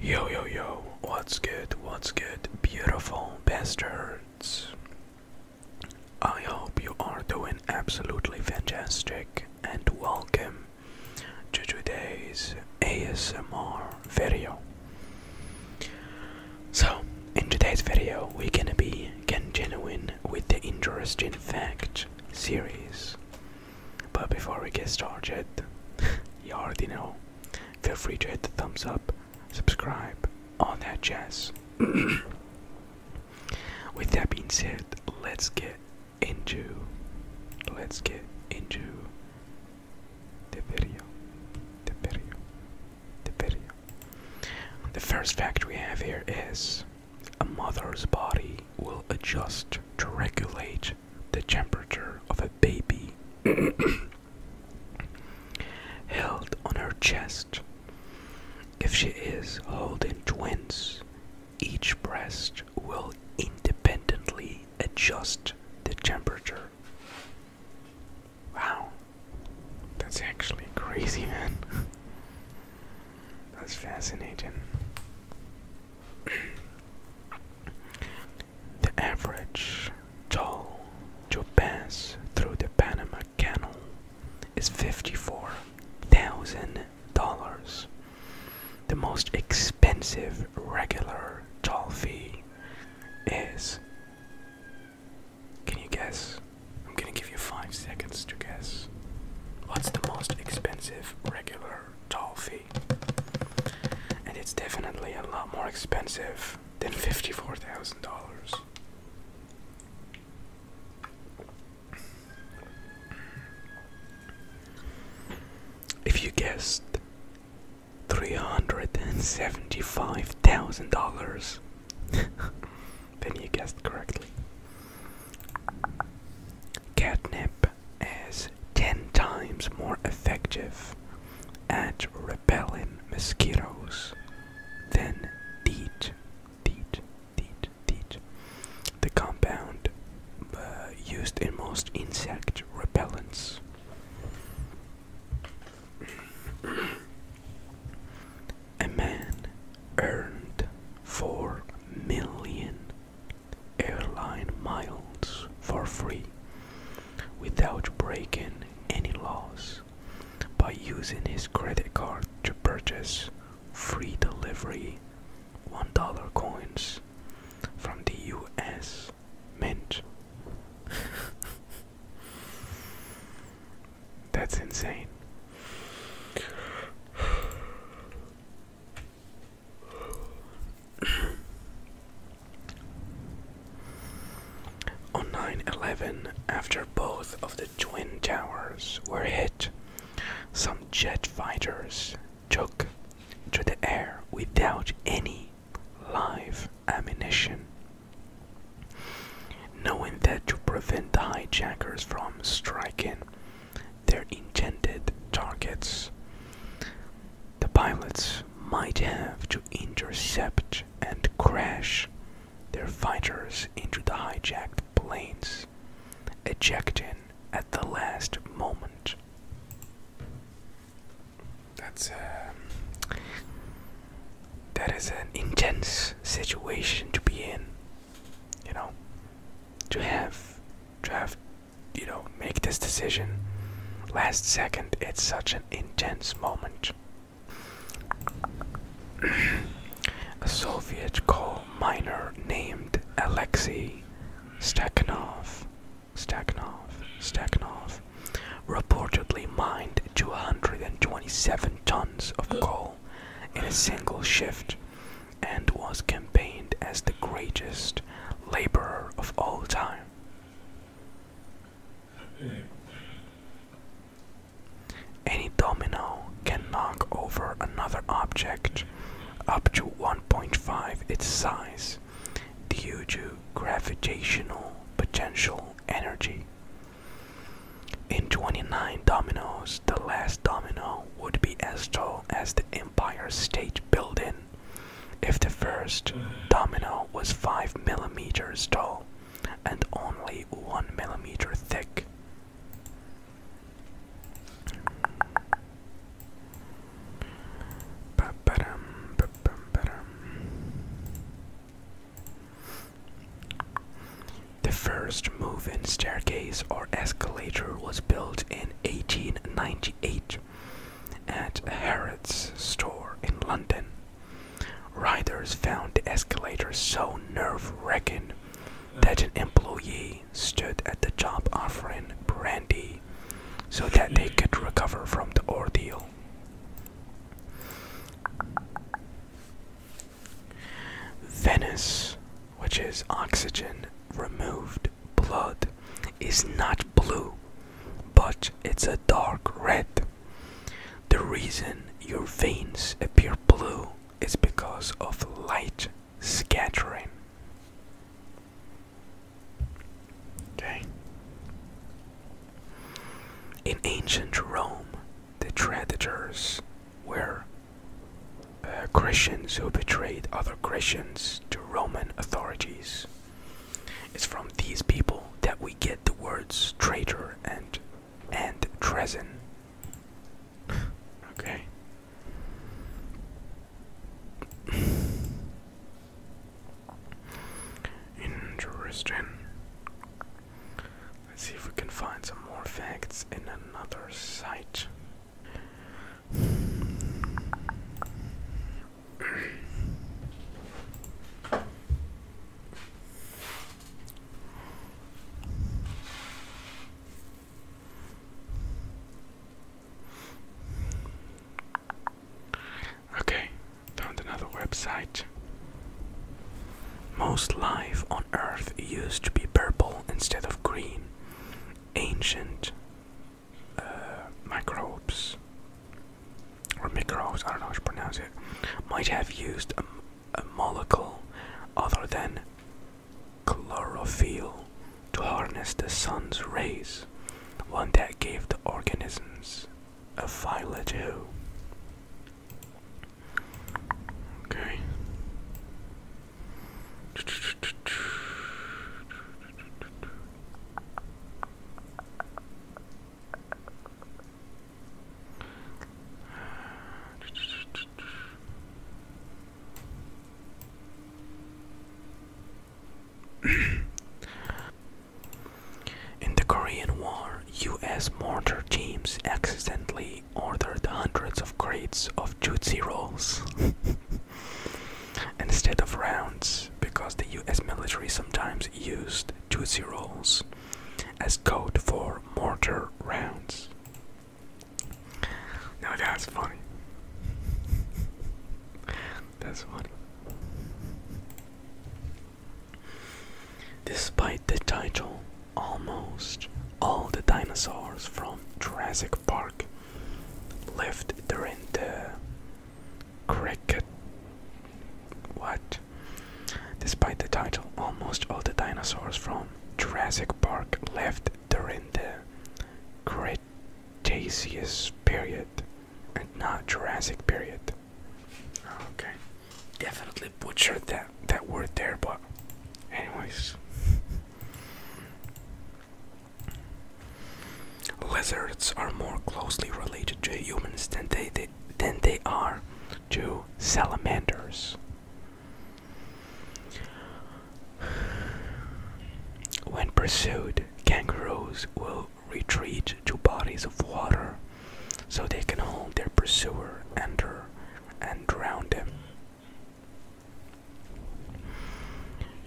Yo, yo, yo, what's good? What's good, beautiful bastards? I hope you are doing absolutely fantastic and welcome to today's ASMR video. So, in today's video, we're gonna be genuine with the interesting fact series. But before we get started, you already know, feel free to hit the thumbs up, subscribe, all that jazz. With that being said, let's get into let's get into the video. The video. The video. The first fact we have here is a mother's body will adjust to regulate the temperature of a baby. Held on her chest. If she is holding twins, each breast will independently adjust the temperature. Wow, that's actually crazy, man. that's fascinating. The average toll to pass through the Panama Canal is $54,000. The most expensive regular toll fee is. Can you guess? I'm gonna give you five seconds to guess. What's the most expensive regular toll fee? And it's definitely a lot more expensive than $54,000. If you guessed $375,000, then you guessed correctly. Catnip is 10 times more effective at repelling mosquitoes than DEET. DEET, DEET, DEET. The compound uh, used in most insect repellents. A man earned four million airline miles for free without breaking any laws by using his credit card to purchase free delivery $1 coins from the US Mint. That's insane. On 9 11, after both of the Twin Towers were hit, some jet fighters took to the air without any live ammunition. Knowing that to prevent the hijackers from striking, their intended targets. The pilots might have to intercept and crash their fighters into the hijacked planes, ejecting at the last moment. That's uh, that is an intense situation to be in, you know, to have to have you know, make this decision last second. It's such an intense moment. a Soviet coal miner named Alexei Stakhanov, Stakhanov, Stakhanov reportedly mined 227 tons of coal in a single shift and was campaigned as the greatest laborer of all time. Any domino can knock over another object up to 1.5 its size due to gravitational potential energy. In 29 dominoes, the last domino would be as tall as the Empire State Building if the first domino was 5 millimeters tall and only 1 millimeter thick, the 1st moving staircase or escalator was built in 1898 at a Harrods store in London. Riders found the escalator so nerve wracking that an employee stood at the job offering brandy so that they could recover from the ordeal. Venice, which is oxygen, removed blood is not blue, but it's a dark red. The reason your veins appear blue is because of light scattering. Okay. In ancient Rome, the traitors were uh, Christians who betrayed other Christians Roman authorities. It's from these people that we get the words traitor and and treason. okay. Interesting. Let's see if we can find some more facts in another site. Okay, found another website. Most life on Earth used to be purple instead of green. Ancient uh, microbes or microbes, I don't know how to pronounce it, might have used a, a molecule other than chlorophyll to harness the sun's rays, one that gave the organisms a violet hue. Okay. In the Korean War, US mortar teams accidentally ordered hundreds of crates of Tootsie Rolls. instead of rounds because the US military sometimes used two zeros as code for mortar rounds. Now that's funny. that's funny. Despite the title, almost all the dinosaurs from Jurassic Park left during the cricket. What? Despite the title, almost all the dinosaurs from Jurassic Park left during the Cretaceous period and not Jurassic period. Okay. Definitely butchered that that word there, but anyways. Lizards are more closely related to humans than they, than they are to salamanders. When pursued, kangaroos will retreat to bodies of water so they can hold their pursuer under and drown them.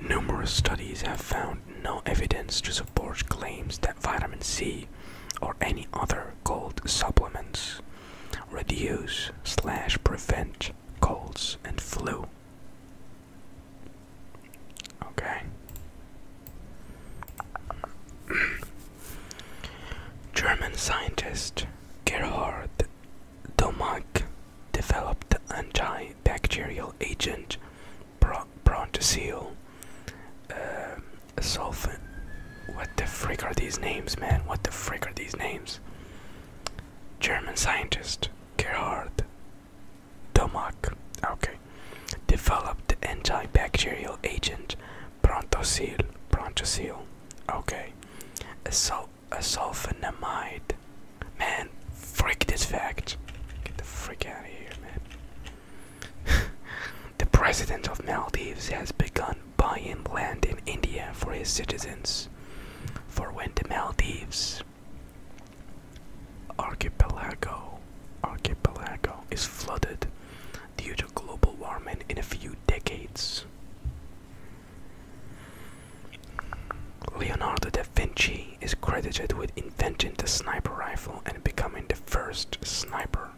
Numerous studies have found no evidence to support claims that vitamin C or any other cold supplements reduce slash prevent colds and flu. Okay. German scientist Gerhard Domag developed the antibacterial agent, prontosil, um, sulfon. What the frick are these names, man? What the frick are these names? German scientist Gerhard Domag, okay, developed the antibacterial agent prontosil. Prontosil. okay, a, a sulfonamide. Man, freak this fact. Get the freak out of here, man. the president of Maldives has begun buying land in India for his citizens for when the Maldives archipelago archipelago is flooded due to global warming in a few decades. Leonardo da Vinci is credited with inventing the sniper rifle and becoming the first sniper.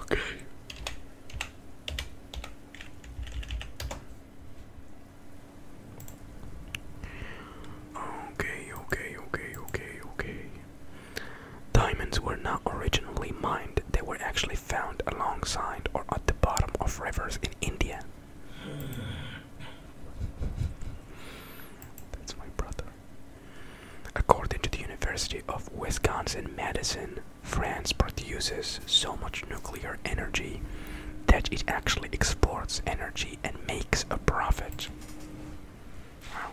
Okay. Okay, okay, okay, okay, Diamonds were not originally mined, they were actually found alongside or at the bottom of rivers in India. That's my brother. According to the University of Wisconsin Madison, France produces so much nuclear energy that it actually exports energy and makes a profit. Wow.